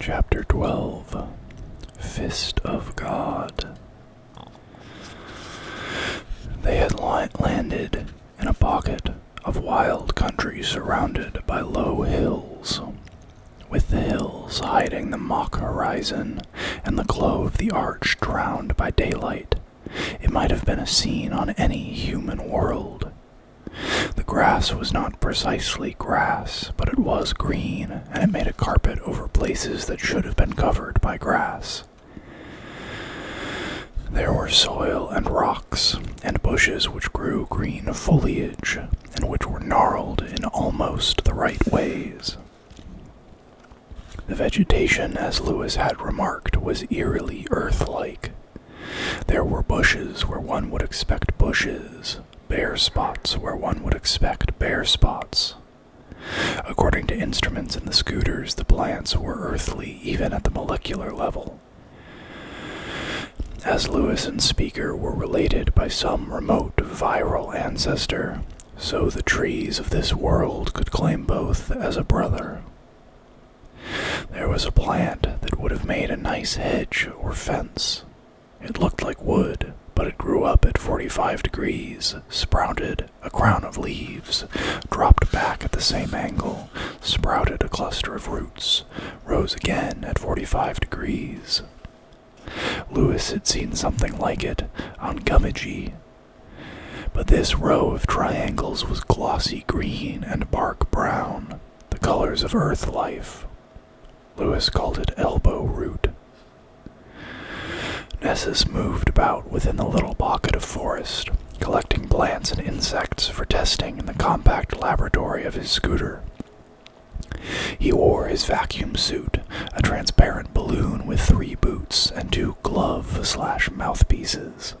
Chapter 12 Fist of God. They had landed in a pocket of wild country surrounded by low hills, with the hills hiding the mock horizon and the glow of the arch drowned by daylight. It might have been a scene on any human world, the grass was not precisely grass, but it was green, and it made a carpet over places that should have been covered by grass. There were soil and rocks, and bushes which grew green foliage, and which were gnarled in almost the right ways. The vegetation, as Lewis had remarked, was eerily earthlike. There were bushes where one would expect bushes, bare spots where one would expect bare spots. According to instruments in the scooters, the plants were earthly even at the molecular level. As Lewis and Speaker were related by some remote viral ancestor, so the trees of this world could claim both as a brother. There was a plant that would have made a nice hedge or fence. It looked like wood, but it grew up at forty five degrees, sprouted a crown of leaves, dropped back at the same angle, sprouted a cluster of roots, rose again at forty five degrees. Lewis had seen something like it on Gummidgee. But this row of triangles was glossy green and bark brown. The colors of earth life. Lewis called it elbow root. Nessus moved about within the little pocket of forest, collecting plants and insects for testing in the compact laboratory of his scooter. He wore his vacuum suit, a transparent balloon with three boots and two glove slash mouthpieces.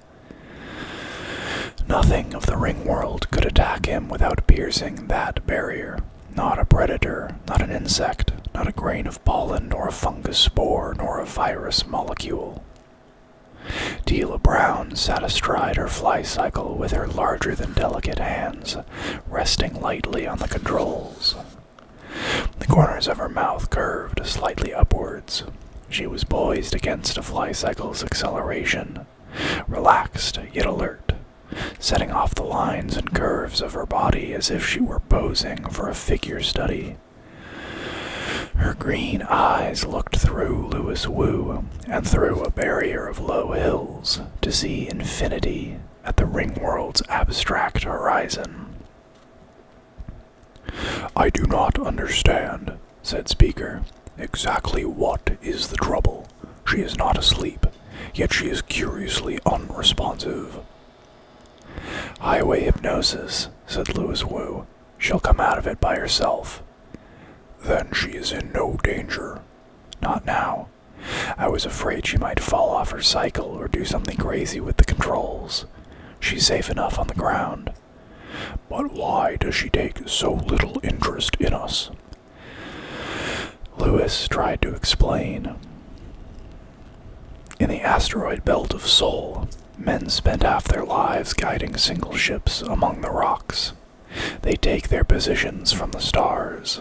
Nothing of the ring world could attack him without piercing that barrier. Not a predator, not an insect, not a grain of pollen, nor a fungus spore, nor a virus molecule. Tila Brown sat astride her fly cycle with her larger than delicate hands, resting lightly on the controls. The corners of her mouth curved slightly upwards. She was poised against a fly cycle's acceleration, relaxed yet alert, setting off the lines and curves of her body as if she were posing for a figure study. Her green eyes looked through Louis Wu and through a barrier of low hills to see infinity at the Ring World's abstract horizon. I do not understand, said Speaker. Exactly what is the trouble? She is not asleep, yet she is curiously unresponsive. Highway hypnosis, said Louis Wu. She'll come out of it by herself. Then she is in no danger. Not now. I was afraid she might fall off her cycle or do something crazy with the controls. She's safe enough on the ground. But why does she take so little interest in us? Lewis tried to explain. In the asteroid belt of Sol, men spend half their lives guiding single ships among the rocks. They take their positions from the stars.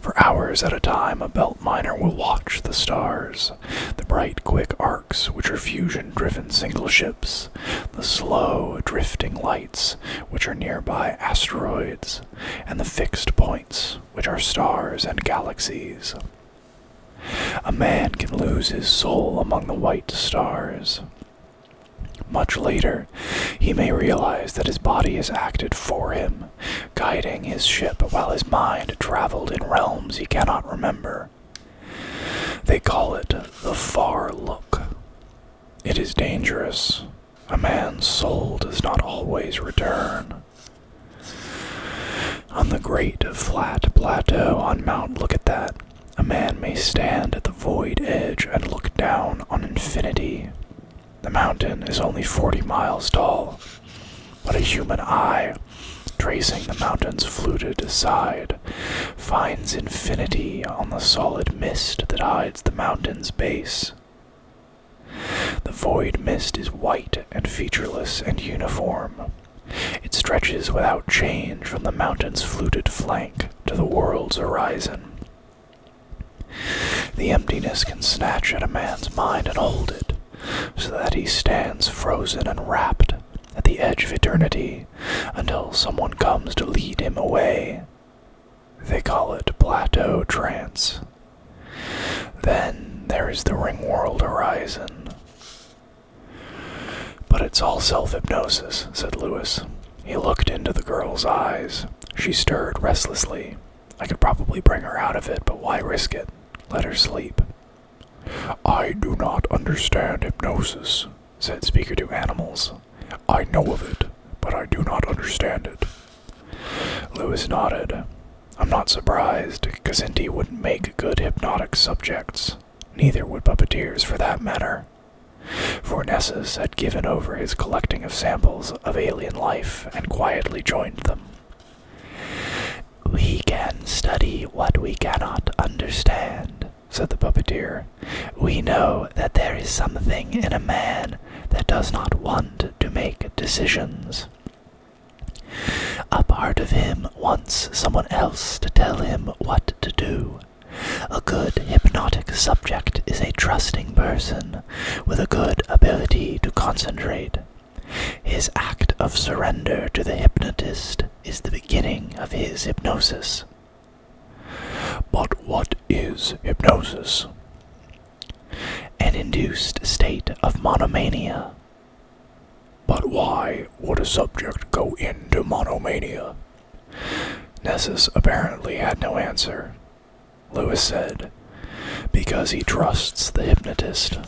For hours at a time, a belt miner will watch the stars, the bright, quick arcs which are fusion driven single ships the slow drifting lights, which are nearby asteroids, and the fixed points, which are stars and galaxies. A man can lose his soul among the white stars. Much later, he may realize that his body has acted for him, guiding his ship while his mind traveled in realms he cannot remember. They call it the far look. It is dangerous. A man's soul does not always return. On the great flat plateau on Mount Look at That, a man may stand at the void edge and look down on infinity. The mountain is only 40 miles tall, but a human eye, tracing the mountain's fluted side, finds infinity on the solid mist that hides the mountain's base. The void mist is white and featureless and uniform. It stretches without change from the mountain's fluted flank to the world's horizon. The emptiness can snatch at a man's mind and hold it, so that he stands frozen and wrapped at the edge of eternity until someone comes to lead him away. They call it plateau trance. Then there is the ring world horizon. But it's all self hypnosis, said Lewis. He looked into the girl's eyes. She stirred restlessly. I could probably bring her out of it, but why risk it? Let her sleep. I do not understand hypnosis, said Speaker to animals. I know of it, but I do not understand it. Lewis nodded. I'm not surprised. Kazinti wouldn't make good hypnotic subjects. Neither would puppeteers, for that matter. For Nessus had given over his collecting of samples of alien life and quietly joined them. We can study what we cannot understand, said the puppeteer. We know that there is something in a man that does not want to make decisions. A part of him wants someone else to tell him what to do. A good hypnotic subject is a trusting person with a good ability to concentrate. His act of surrender to the hypnotist is the beginning of his hypnosis. But what is hypnosis? An induced state of monomania. But why would a subject go into monomania? Nessus apparently had no answer. Lewis said, Because he trusts the hypnotist.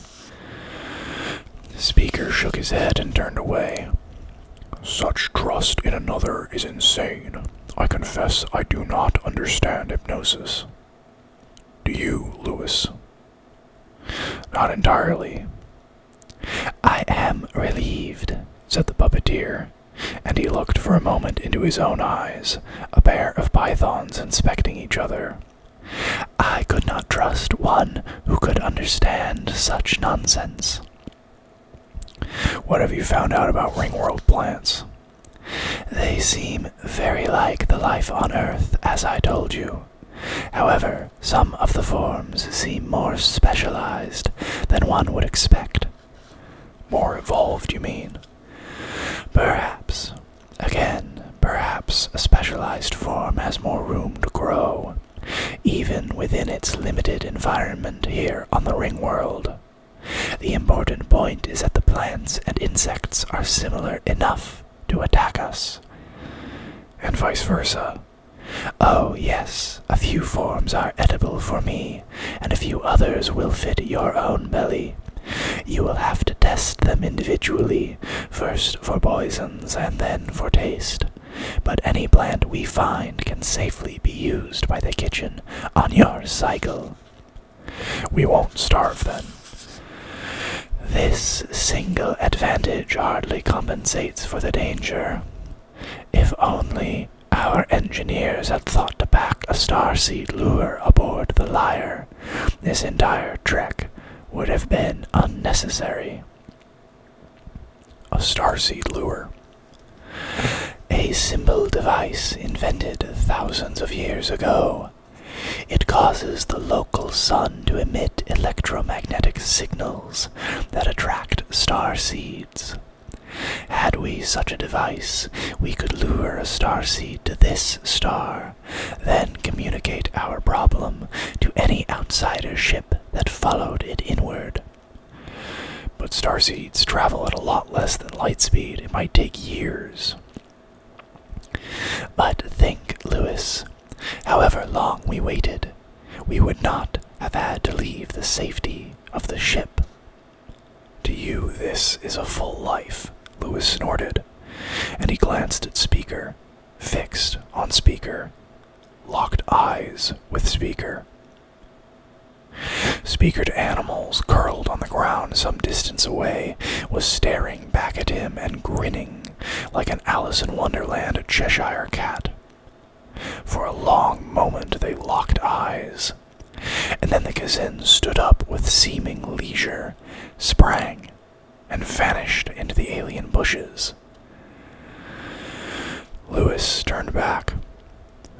The Speaker shook his head and turned away. Such trust in another is insane. I confess I do not understand hypnosis. Do you, Lewis? Not entirely. I am relieved, said the puppeteer, and he looked for a moment into his own eyes, a pair of pythons inspecting each other. I could not trust one who could understand such nonsense. What have you found out about ringworld plants? They seem very like the life on Earth, as I told you. However, some of the forms seem more specialized than one would expect. More evolved, you mean? Perhaps. Again, perhaps a specialized form has more room to grow even within its limited environment here on the ring world. The important point is that the plants and insects are similar enough to attack us, and vice versa. Oh, yes, a few forms are edible for me, and a few others will fit your own belly. You will have to test them individually, first for poisons and then for taste. But any plant we find can safely be used by the kitchen on your cycle. We won't starve then. This single advantage hardly compensates for the danger. If only our engineers had thought to pack a star seed lure aboard the Lyre, this entire trek would have been unnecessary. A star seed lure. A simple device invented thousands of years ago. It causes the local sun to emit electromagnetic signals that attract star seeds. Had we such a device, we could lure a star seed to this star, then communicate our problem to any outsider ship that followed it inward. But starseeds travel at a lot less than light speed. It might take years. But think, Lewis, however long we waited, we would not have had to leave the safety of the ship. To you, this is a full life, Lewis snorted, and he glanced at Speaker, fixed on Speaker, locked eyes with Speaker. Speaker to animals, curled on the ground some distance away, was staring back at him and grinning like an Alice in Wonderland Cheshire cat. For a long moment they locked eyes, and then the Kazin stood up with seeming leisure, sprang, and vanished into the alien bushes. Lewis turned back.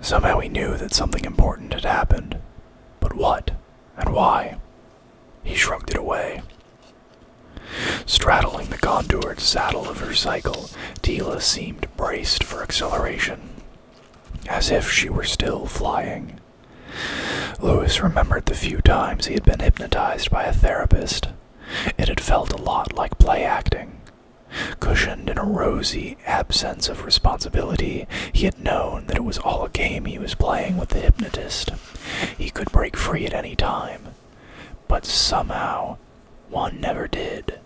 Somehow he knew that something important had happened. But what and why? He shrugged it away. Straddling the contoured saddle of her cycle, Tila seemed braced for acceleration, as if she were still flying. Lewis remembered the few times he had been hypnotized by a therapist it had felt a lot like play acting. Cushioned in a rosy absence of responsibility, he had known that it was all a game he was playing with the hypnotist. He could break free at any time. But somehow, one never did.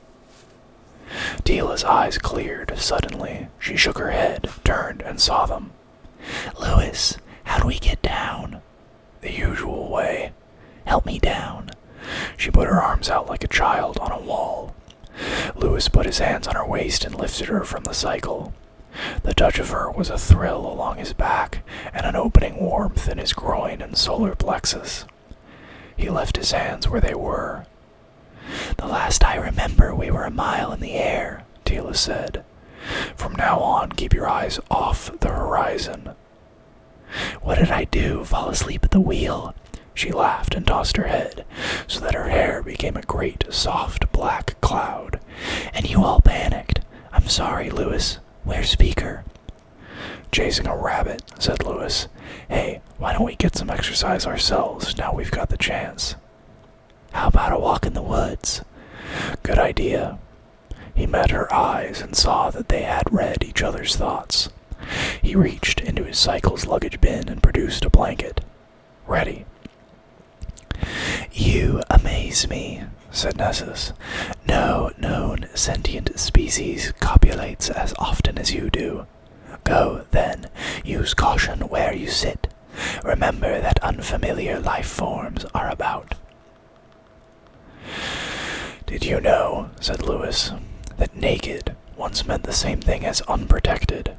Tila's eyes cleared suddenly. She shook her head, turned, and saw them. Louis, how do we get down? the usual way. Help me down. She put her arms out like a child on a wall. Lewis put his hands on her waist and lifted her from the cycle. The touch of her was a thrill along his back and an opening warmth in his groin and solar plexus. He left his hands where they were. The last I remember, we were a mile in the air, Tila said. From now on, keep your eyes off the horizon. What did I do? Fall asleep at the wheel? She laughed and tossed her head, so that her hair became a great, soft, black cloud. And you all panicked. I'm sorry, Lewis. Where's Speaker? Chasing a rabbit, said Lewis. Hey, why don't we get some exercise ourselves now we've got the chance? How about a walk in the woods? Good idea. He met her eyes and saw that they had read each other's thoughts. He reached into his cycle's luggage bin and produced a blanket. Ready. You amaze me, said Nessus. No known sentient species copulates as often as you do. Go, then, use caution where you sit. Remember that unfamiliar life forms are about. Did you know, said Lewis, that naked once meant the same thing as unprotected?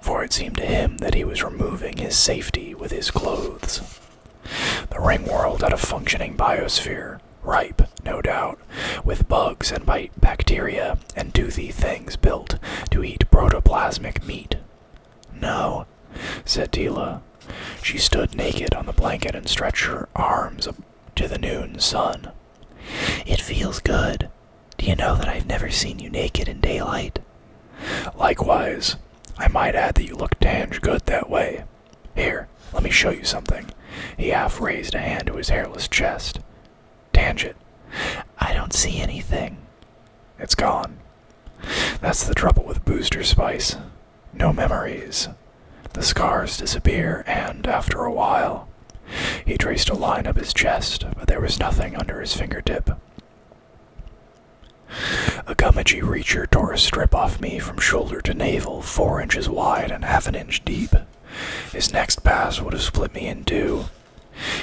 For it seemed to him that he was removing his safety with his clothes. The ring world had a functioning biosphere, ripe, no doubt, with bugs and bite bacteria and toothy things built to eat protoplasmic meat. No, said Tila. She stood naked on the blanket and stretched her arms up to the noon sun. It feels good. Do you know that I've never seen you naked in daylight? Likewise, I might add that you look dang good that way. Here, let me show you something. He half raised a hand to his hairless chest. it! I don't see anything. It's gone. That's the trouble with booster spice no memories. The scars disappear, and after a while, he traced a line up his chest, but there was nothing under his fingertip. A Gummidgee reacher tore a strip off me from shoulder to navel, four inches wide and half an inch deep. His next pass would have split me in two.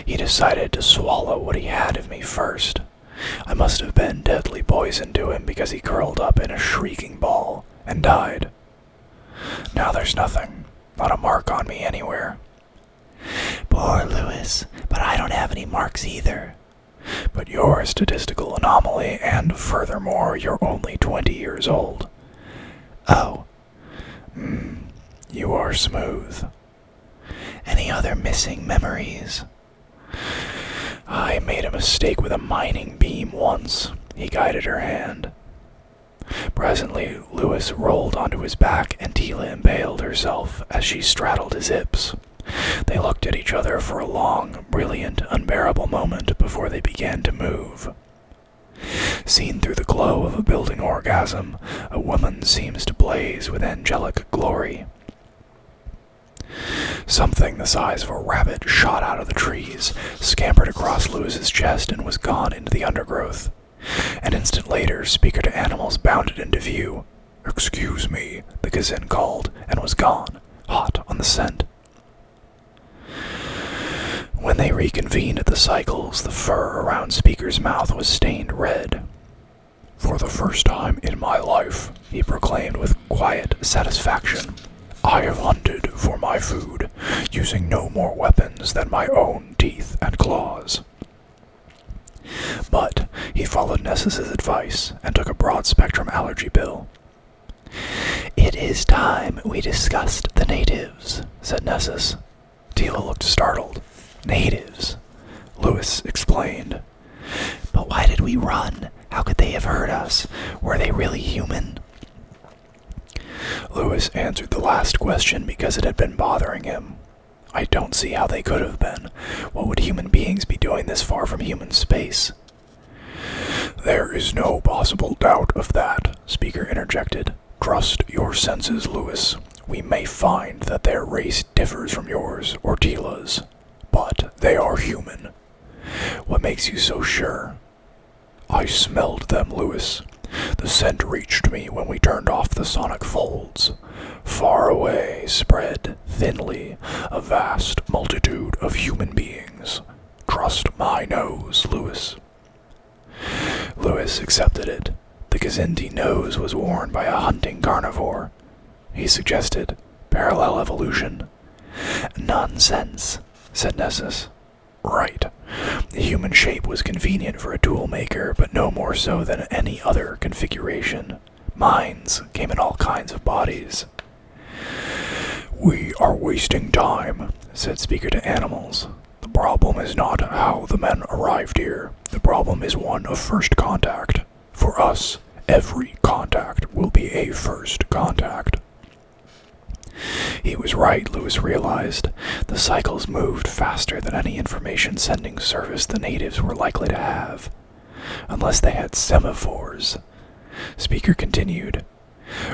He decided to swallow what he had of me first. I must have been deadly poison to him because he curled up in a shrieking ball and died. Now there's nothing, not a mark on me anywhere. Poor Lewis, but I don't have any marks either. But you're a statistical anomaly, and furthermore, you're only 20 years old. Oh. Hmm. you are smooth. Any other missing memories? I made a mistake with a mining beam once, he guided her hand. Presently, Lewis rolled onto his back and Tila impaled herself as she straddled his hips. They looked at each other for a long, brilliant, unbearable moment before they began to move. Seen through the glow of a building orgasm, a woman seems to blaze with angelic glory. Something the size of a rabbit shot out of the trees, scampered across Lewis's chest, and was gone into the undergrowth. An instant later, Speaker to Animals bounded into view. Excuse me, the Gazin called, and was gone, hot on the scent. When they reconvened at the cycles, the fur around Speaker's mouth was stained red. For the first time in my life, he proclaimed with quiet satisfaction, I have hunted for my food, using no more weapons than my own teeth and claws. But he followed Nessus's advice and took a broad spectrum allergy pill. It is time we discussed the natives, said Nessus. Tila looked startled. Natives, Lewis explained. But why did we run? How could they have heard us? Were they really human? Louis answered the last question because it had been bothering him. I don't see how they could have been. What would human beings be doing this far from human space? There is no possible doubt of that, Speaker interjected. Trust your senses, Louis. We may find that their race differs from yours or Tila's but they are human. What makes you so sure? I smelled them, Lewis. The scent reached me when we turned off the sonic folds. Far away spread, thinly, a vast multitude of human beings. Trust my nose, Lewis. Lewis accepted it. The Kazindi nose was worn by a hunting carnivore he suggested. Parallel evolution. Nonsense, said Nessus. Right. The human shape was convenient for a tool maker, but no more so than any other configuration. Minds came in all kinds of bodies. We are wasting time, said Speaker to Animals. The problem is not how the men arrived here. The problem is one of first contact for us, every contact will be a first contact. He was right, Lewis realized. The cycles moved faster than any information sending service the natives were likely to have. Unless they had semaphores. Speaker continued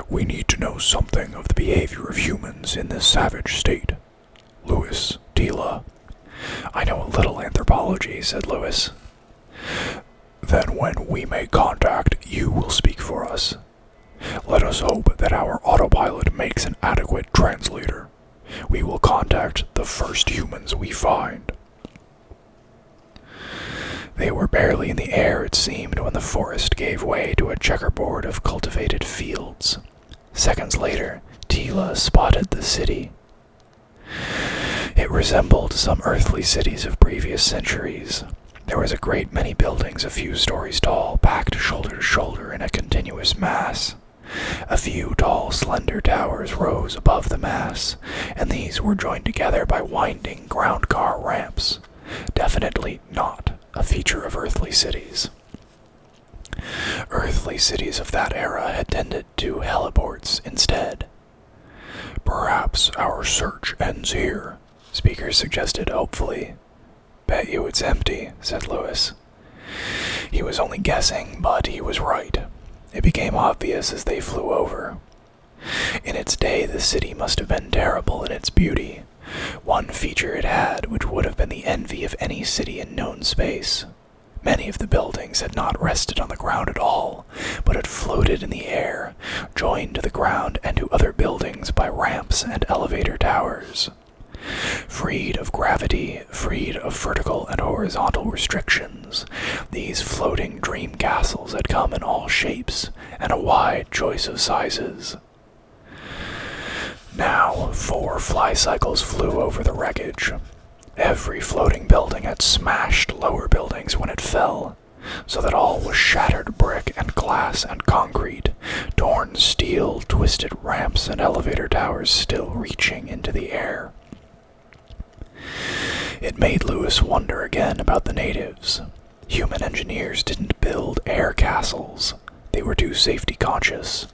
We need to know something of the behavior of humans in this savage state. Lewis, Tila, I know a little anthropology, said Lewis. Then, when we make contact, you will speak for us. Let us hope that our autopilot makes an adequate translator. We will contact the first humans we find. They were barely in the air, it seemed, when the forest gave way to a checkerboard of cultivated fields. Seconds later, Tila spotted the city. It resembled some earthly cities of previous centuries. There was a great many buildings a few stories tall, packed shoulder to shoulder in a continuous mass. A few tall, slender towers rose above the mass, and these were joined together by winding ground car ramps, definitely not a feature of earthly cities. Earthly cities of that era had tended to heliports instead. Perhaps our search ends here, Speaker suggested hopefully. Bet you it's empty, said Lewis. He was only guessing, but he was right. It became obvious as they flew over. In its day, the city must have been terrible in its beauty. One feature it had, which would have been the envy of any city in known space Many of the buildings had not rested on the ground at all, but had floated in the air, joined to the ground and to other buildings by ramps and elevator towers. Freed of gravity, freed of vertical and horizontal restrictions, these floating dream castles had come in all shapes and a wide choice of sizes. Now, four fly cycles flew over the wreckage. Every floating building had smashed lower buildings when it fell, so that all was shattered brick and glass and concrete, torn steel, twisted ramps, and elevator towers still reaching into the air. It made Lewis wonder again about the natives. Human engineers didn't build air castles, they were too safety conscious.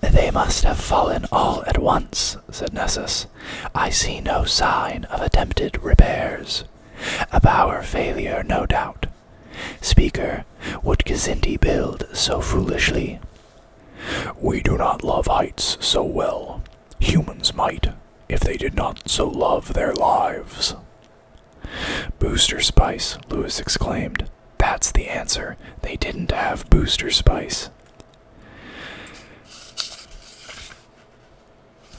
They must have fallen all at once, said Nessus. I see no sign of attempted repairs. A power failure, no doubt. Speaker, would Kazindi build so foolishly? We do not love heights so well. Humans might, if they did not so love their lives. Booster Spice, Lewis exclaimed. That's the answer. They didn't have Booster Spice.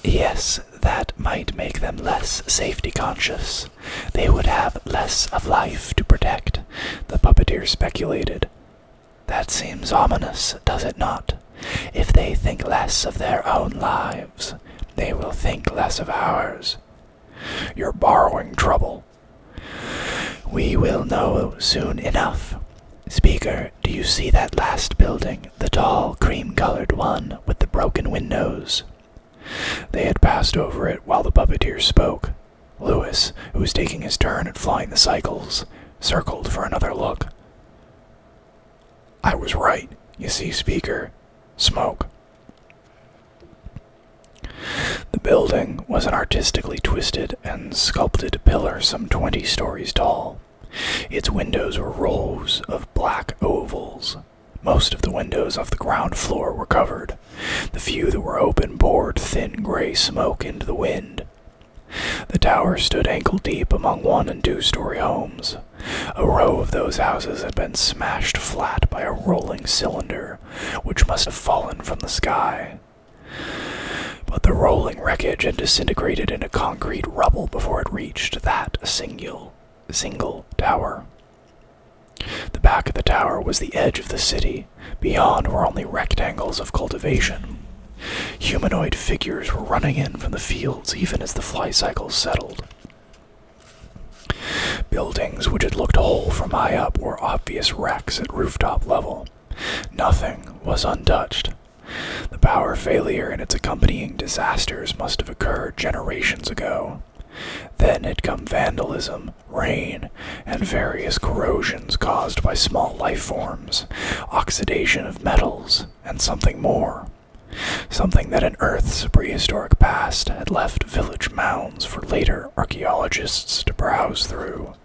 Yes, that might make them less safety conscious. They would have less of life to protect, the puppeteer speculated. That seems ominous, does it not? If they think less of their own lives, they will think less of ours. You're borrowing trouble, we will know soon enough. Speaker, do you see that last building, the tall, cream colored one with the broken windows? They had passed over it while the puppeteer spoke. Lewis, who was taking his turn at flying the cycles, circled for another look. I was right, you see, Speaker. Smoke. The building was an artistically twisted and sculpted pillar some twenty stories tall. Its windows were rows of black ovals. Most of the windows of the ground floor were covered. The few that were open poured thin gray smoke into the wind. The tower stood ankle deep among one and two story homes. A row of those houses had been smashed flat by a rolling cylinder, which must have fallen from the sky. But the rolling wreckage had disintegrated into concrete rubble before it reached that single, single tower. The back of the tower was the edge of the city. Beyond were only rectangles of cultivation. Humanoid figures were running in from the fields even as the fly cycles settled. Buildings which had looked whole from high up were obvious wrecks at rooftop level. Nothing was untouched. The power failure and its accompanying disasters must have occurred generations ago. Then had come vandalism, rain, and various corrosion caused by small life forms, oxidation of metals, and something more. Something that in Earth's prehistoric past had left village mounds for later archaeologists to browse through.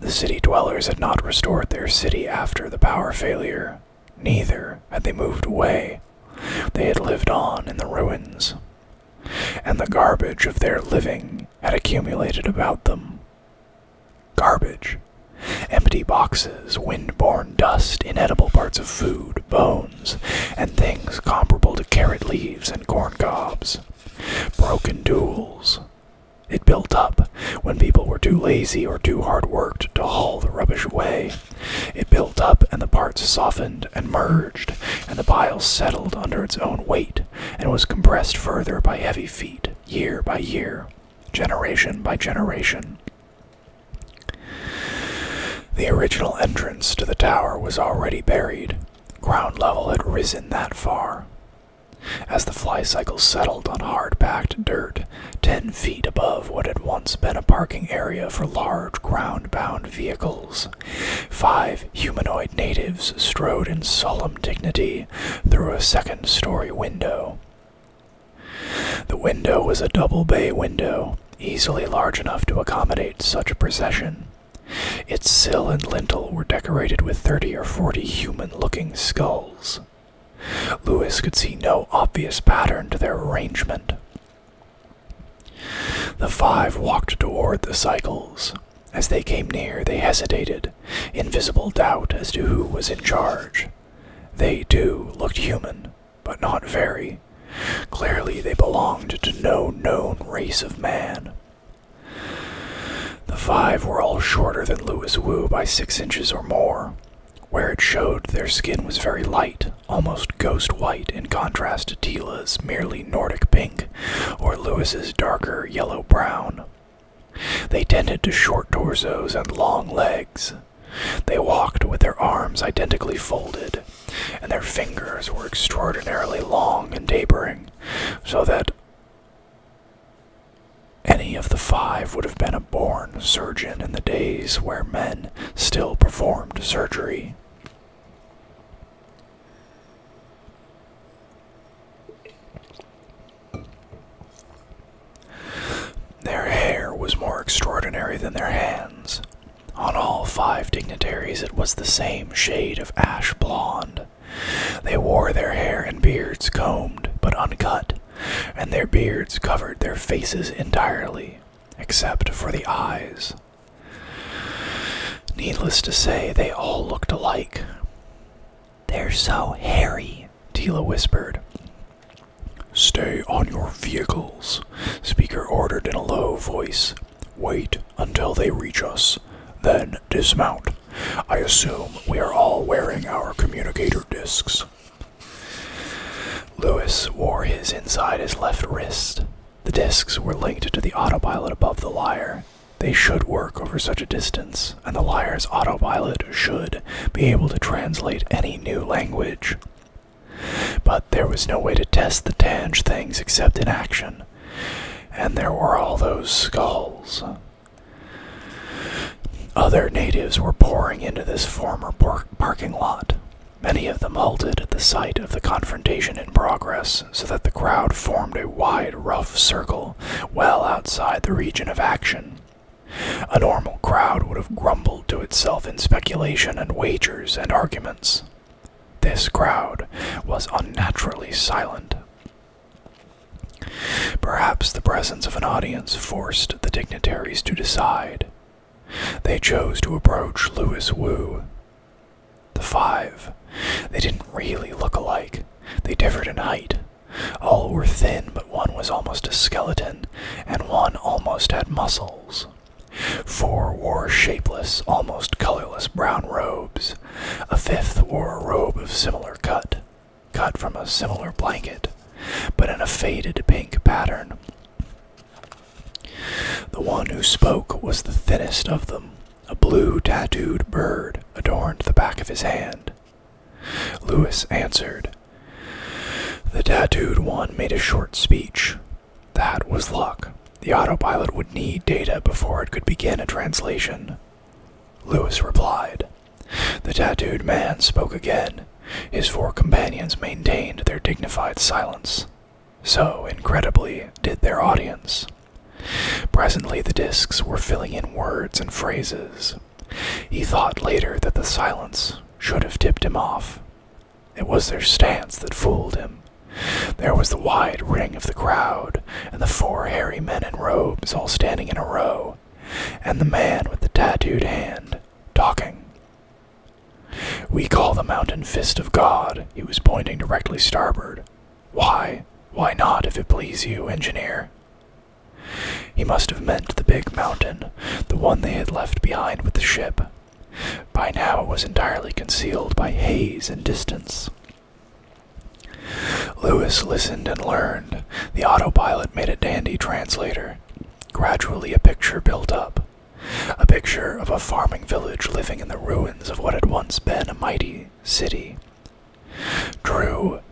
The city dwellers had not restored their city after the power failure, neither had they moved away. They had lived on in the ruins, and the garbage of their living had accumulated about them. Garbage. Empty boxes, wind-borne dust, inedible parts of food, bones, and things comparable to carrot leaves and corn cobs. Broken duels. It built up when people were too lazy or too hard worked to haul the rubbish away. It built up and the parts softened and merged, and the pile settled under its own weight and was compressed further by heavy feet, year by year, generation by generation. The original entrance to the tower was already buried, Ground level had risen that far. As the flycycle settled on hard packed dirt, ten feet above what had once been a parking area for large ground bound vehicles, five humanoid natives strode in solemn dignity through a second story window. The window was a double bay window, easily large enough to accommodate such a procession. Its sill and lintel were decorated with thirty or forty human looking skulls. Lewis could see no obvious pattern to their arrangement. The five walked toward the cycles. As they came near, they hesitated, in visible doubt as to who was in charge. They, too, looked human, but not very. Clearly, they belonged to no known race of man. The five were all shorter than Louis Wu by six inches or more. Where it showed, their skin was very light, almost ghost white in contrast to Tila's merely Nordic pink or Lewis's darker yellow brown. They tended to short torsos and long legs. They walked with their arms identically folded, and their fingers were extraordinarily long and tapering so that any of the five would have been a born surgeon in the days where men still performed surgery. Their hair was more extraordinary than their hands, on all five dignitaries it was the same shade of ash blonde. They wore their hair and beards combed but uncut, and their beards covered their faces entirely, except for the eyes. Needless to say, they all looked alike. They're so hairy, Tila whispered. Stay on your vehicles, Speaker ordered in a low voice, Wait until they reach us, then dismount. I assume we are all wearing our communicator discs. Lewis wore his inside his left wrist. The discs were linked to the autopilot above the lyre. They should work over such a distance, and the lyre's autopilot should be able to translate any new language. But there was no way to test the Tange things except in action and there were all those skulls. Other natives were pouring into this former park parking lot. Many of them halted at the sight of the confrontation in progress, so that the crowd formed a wide, rough circle well outside the region of action. A normal crowd would have grumbled to itself in speculation and wagers and arguments. This crowd was unnaturally silent. Perhaps the presence of an audience forced the dignitaries to decide. They chose to approach Louis Wu. The five. They didn't really look alike. They differed in height. All were thin, but one was almost a skeleton, and one almost had muscles. Four wore shapeless, almost colorless brown robes. A fifth wore a robe of similar cut, cut from a similar blanket, but in a faded pink pattern. The one who spoke was the thinnest of them. A blue tattooed bird adorned the back of his hand. Lewis answered. The tattooed one made a short speech, that was luck. The autopilot would need data before it could begin a translation. Lewis replied. The tattooed man spoke again. His four companions maintained their dignified silence. So incredibly did their audience. Presently, the discs were filling in words and phrases. He thought later that the silence should have tipped him off. It was their stance that fooled him. There was the wide ring of the crowd, and the four hairy men in robes all standing in a row, and the man with the tattooed hand talking. We call the mountain Fist of God. He was pointing directly starboard. Why? Why not, if it please you, engineer? He must have meant the big mountain, the one they had left behind with the ship. By now it was entirely concealed by haze and distance. Lewis listened and learned. The autopilot made a dandy translator. Gradually, a picture built up a picture of a farming village living in the ruins of what had once been a mighty city. Drew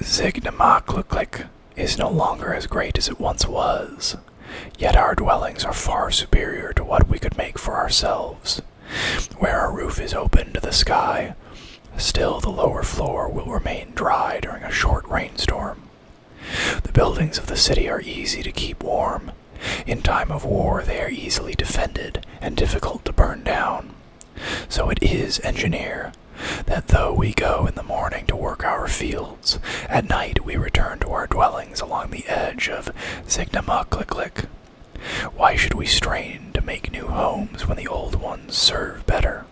Zignamakliklik is no longer as great as it once was. Yet our dwellings are far superior to what we could make for ourselves. Where our roof is open to the sky, still the lower floor will remain dry during a short rainstorm. The buildings of the city are easy to keep warm. In time of war, they are easily defended and difficult to burn down. So it is, engineer, that though we go in the morning to work our fields, at night we return to our dwelling along the edge of Zignamukliklik. Why should we strain to make new homes when the old ones serve better?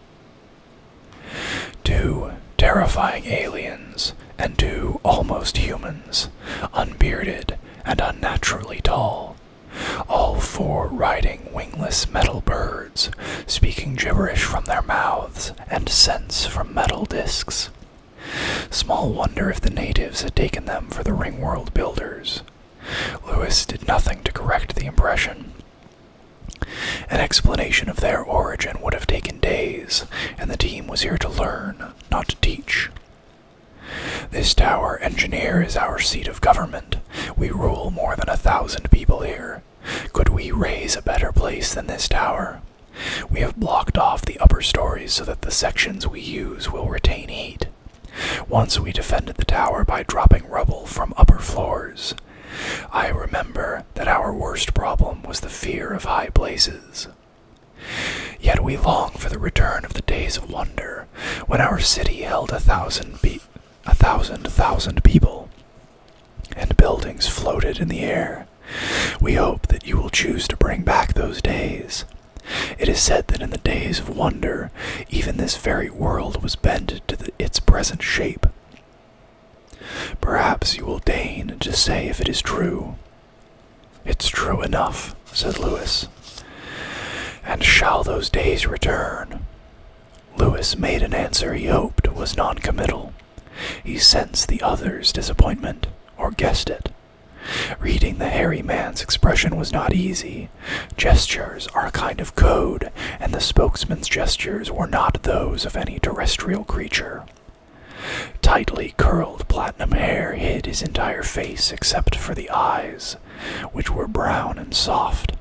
Two terrifying aliens and two almost humans, unbearded and unnaturally tall, all four riding wingless metal birds, speaking gibberish from their mouths and scents from metal discs. Small wonder if the natives had taken them for the ring world builders. Lewis did nothing to correct the impression. An explanation of their origin would have taken days, and the team was here to learn, not to teach. This tower, engineer, is our seat of government. We rule more than a thousand people here. Could we raise a better place than this tower? We have blocked off the upper stories so that the sections we use will retain heat. Once we defended the tower by dropping rubble from upper floors. I remember that our worst problem was the fear of high places. Yet we long for the return of the days of wonder, when our city held a thousand, a thousand, thousand people, and buildings floated in the air. We hope that you will choose to bring back those days. It is said that in the days of wonder, even this very world was bent to its present shape. Perhaps you will deign to say if it is true. It's true enough, said Lewis. And shall those days return? Lewis made an answer he hoped was non-committal. He sensed the other's disappointment, or guessed it. Reading the hairy man's expression was not easy. Gestures are a kind of code, and the spokesman's gestures were not those of any terrestrial creature. Tightly curled platinum hair hid his entire face except for the eyes, which were brown and soft.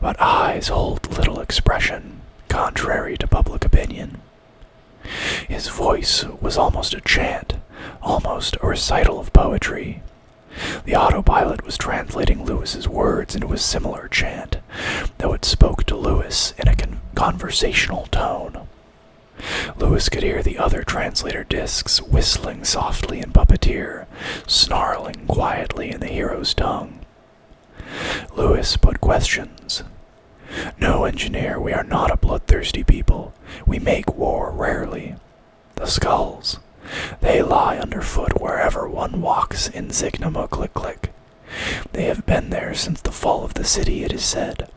But eyes hold little expression, contrary to public opinion. His voice was almost a chant, almost a recital of poetry. The autopilot was translating Lewis's words into a similar chant, though it spoke to Lewis in a conversational tone. Lewis could hear the other translator discs whistling softly in puppeteer, snarling quietly in the hero's tongue. Lewis put questions, no, engineer, we are not a bloodthirsty people. We make war rarely. The skulls. They lie underfoot wherever one walks in Zignama Click Click. They have been there since the fall of the city, it is said.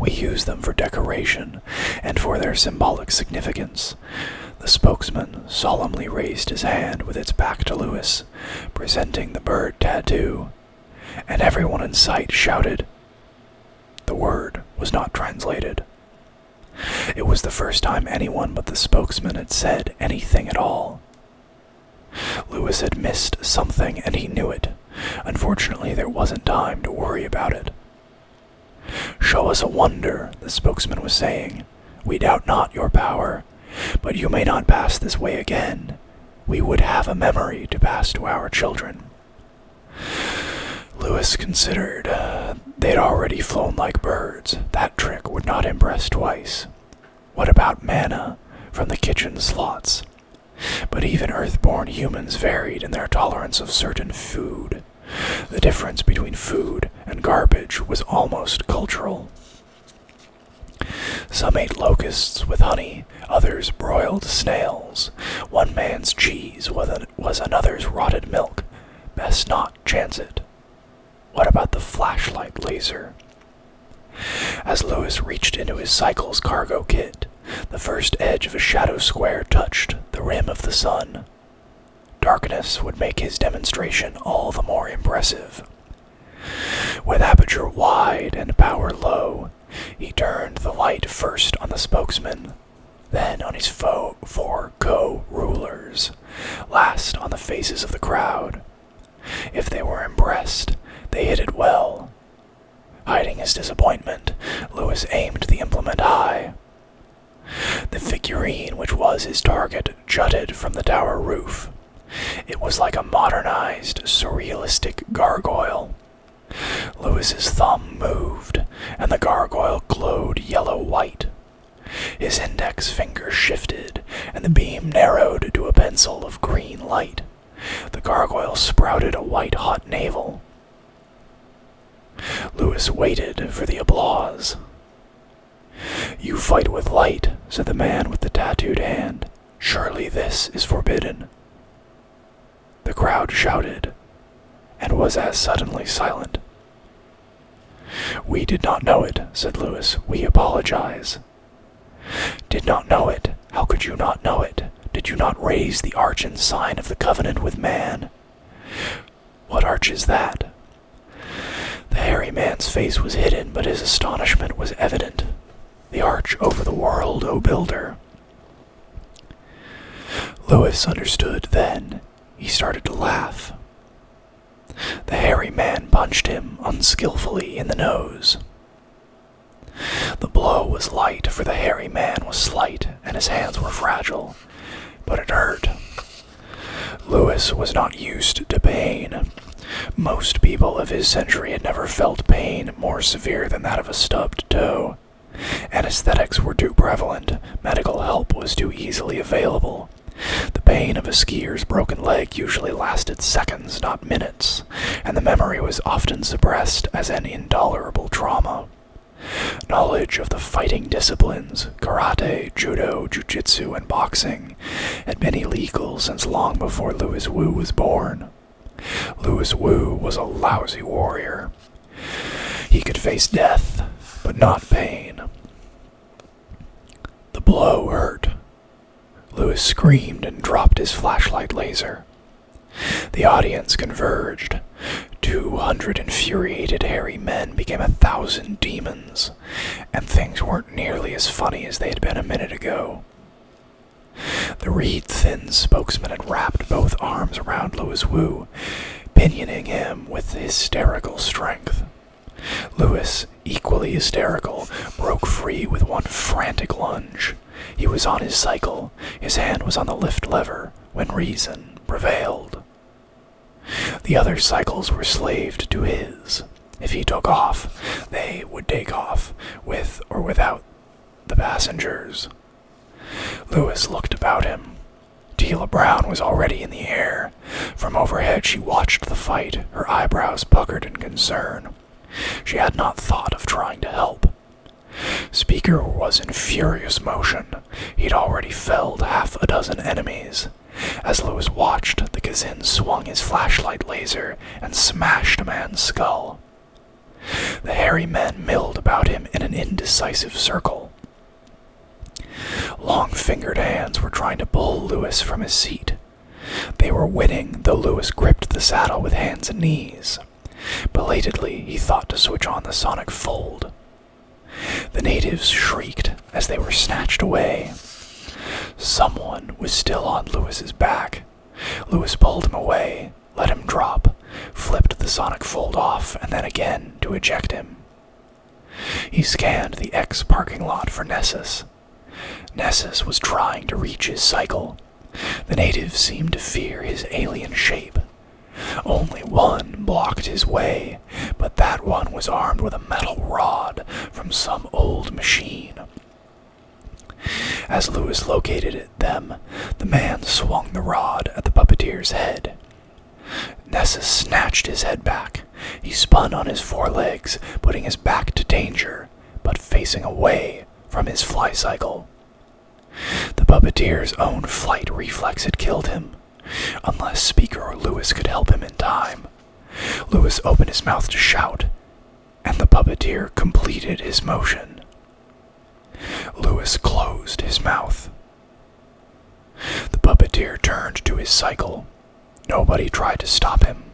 We use them for decoration and for their symbolic significance. The spokesman solemnly raised his hand with its back to Lewis, presenting the bird tattoo and everyone in sight shouted. The word was not translated. It was the first time anyone but the spokesman had said anything at all. Lewis had missed something and he knew it. Unfortunately, there wasn't time to worry about it. Show us a wonder, the spokesman was saying. We doubt not your power, but you may not pass this way again we would have a memory to pass to our children. Lewis considered uh, they'd already flown like birds. That trick would not impress twice. What about manna from the kitchen slots? But even earthborn humans varied in their tolerance of certain food. The difference between food and garbage was almost cultural. Some ate locusts with honey, others broiled snails. One man's cheese was, another's rotted milk. Best not chance it. What about the flashlight laser? As Lewis reached into his cycle's cargo kit, the first edge of a shadow square touched the rim of the sun. Darkness would make his demonstration all the more impressive. With aperture wide and power low, he turned the light first on the spokesman, then on his foe four co rulers, last on the faces of the crowd. If they were impressed, they hit it well. Hiding his disappointment, Lewis aimed the implement high. The figurine, which was his target, jutted from the tower roof, it was like a modernized, surrealistic gargoyle. Lewis's thumb moved, and the gargoyle glowed yellow white. His index finger shifted, and the beam narrowed to a pencil of green light. The gargoyle sprouted a white hot navel. Lewis waited for the applause. You fight with light, said the man with the tattooed hand. Surely this is forbidden. The crowd shouted and was as suddenly silent. We did not know it, said Lewis. We apologize. Did not know it. How could you not know it? Did you not raise the arch and sign of the covenant with man? What arch is that? The hairy man's face was hidden, but his astonishment was evident the arch over the world, O builder. Lewis understood then. He started to laugh. The hairy man punched him unskillfully in the nose. The blow was light, for the hairy man was slight and his hands were fragile, but it hurt. Lewis was not used to pain. Most people of his century had never felt pain more severe than that of a stubbed toe. Anesthetics were too prevalent, medical help was too easily available. The pain of a skier's broken leg usually lasted seconds, not minutes, and the memory was often suppressed as an intolerable trauma. Knowledge of the fighting disciplines, karate, judo, jujitsu, and boxing, had been illegal since long before Louis Wu was born, on. Louis Wu was a lousy warrior. He could face death, but not pain. The blow hurt. Lewis screamed and dropped his flashlight laser. The audience converged. Two hundred infuriated hairy men became a thousand demons, and things weren't nearly as funny as they had been a minute ago. The reed thin spokesman had wrapped both arms around Louis Wu, pinioning him with hysterical strength. Louis, equally hysterical, broke free with one frantic lunge. He was on his cycle, his hand was on the lift lever, when reason prevailed. The other cycles were slaved to his. If he took off, they would take off, with or without the passengers. Louis looked about him. Tila Brown was already in the air. From overhead, she watched the fight, her eyebrows puckered in concern. She had not thought of trying to help. Speaker was in furious motion. He'd already felled half a dozen enemies. As Louis watched, the Kazin swung his flashlight laser and smashed a man's skull. The hairy men milled about him in an indecisive circle. Long fingered hands were trying to pull Lewis from his seat. They were winning, though Lewis gripped the saddle with hands and knees. Belatedly, he thought to switch on the sonic fold. The natives shrieked as they were snatched away. Someone was still on Lewis's back, Lewis pulled him away, let him drop, flipped the sonic fold off, and then again to eject him. He scanned the X parking lot for Nessus. Nessus was trying to reach his cycle. The natives seemed to fear his alien shape. Only one blocked his way, but that one was armed with a metal rod from some old machine. As Lewis located them, the man swung the rod at the puppeteer's head. Nessus snatched his head back. He spun on his four legs, putting his back to danger, but facing away from his fly cycle. The puppeteer's own flight reflex had killed him, unless Speaker or Lewis could help him in time. Lewis opened his mouth to shout, and the puppeteer completed his motion. Louis closed his mouth. The puppeteer turned to his cycle. Nobody tried to stop him.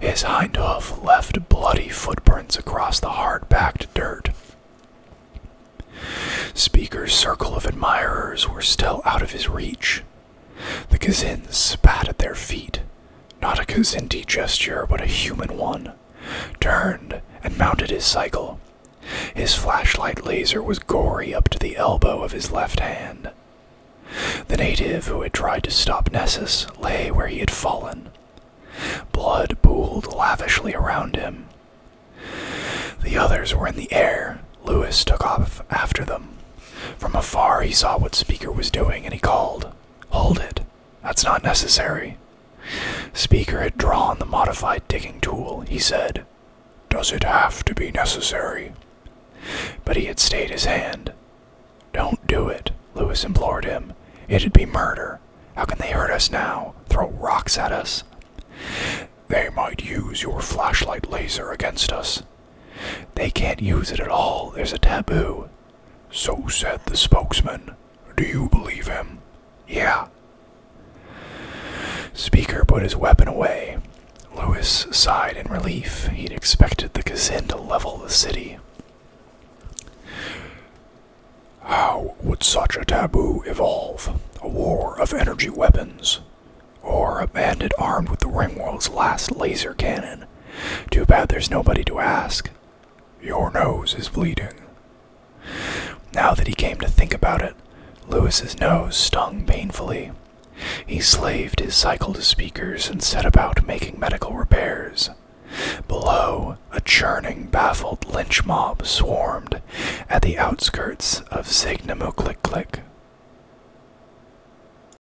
His hind hoof left bloody footprints across the hard packed dirt. Speaker's circle of admirers were still out of his reach, the Kazins spat at their feet. Not a Kazindi gesture, but a human one. Turned and mounted his cycle. His flashlight laser was gory up to the elbow of his left hand. The native who had tried to stop Nessus lay where he had fallen. Blood pooled lavishly around him. The others were in the air. Lewis took off after them, from afar, he saw what Speaker was doing and he called, Hold it. That's not necessary. Speaker had drawn the modified digging tool. He said, Does it have to be necessary? But he had stayed his hand. Don't do it, Lewis implored him. It'd be murder. How can they hurt us now? Throw rocks at us? They might use your flashlight laser against us. They can't use it at all. There's a taboo. So said the spokesman. Do you believe him? Yeah. Speaker put his weapon away. Lewis sighed in relief. He'd expected the Kazin to level the city. How would such a taboo evolve? A war of energy weapons? Or a bandit armed with the Ringworld's last laser cannon too bad there's nobody to ask. Your nose is bleeding. Now that he came to think about it, Louis's nose stung painfully. He slaved his cycle to speakers and set about making medical repairs. Below, a churning, baffled lynch mob swarmed at the outskirts of Signamoclick-Click.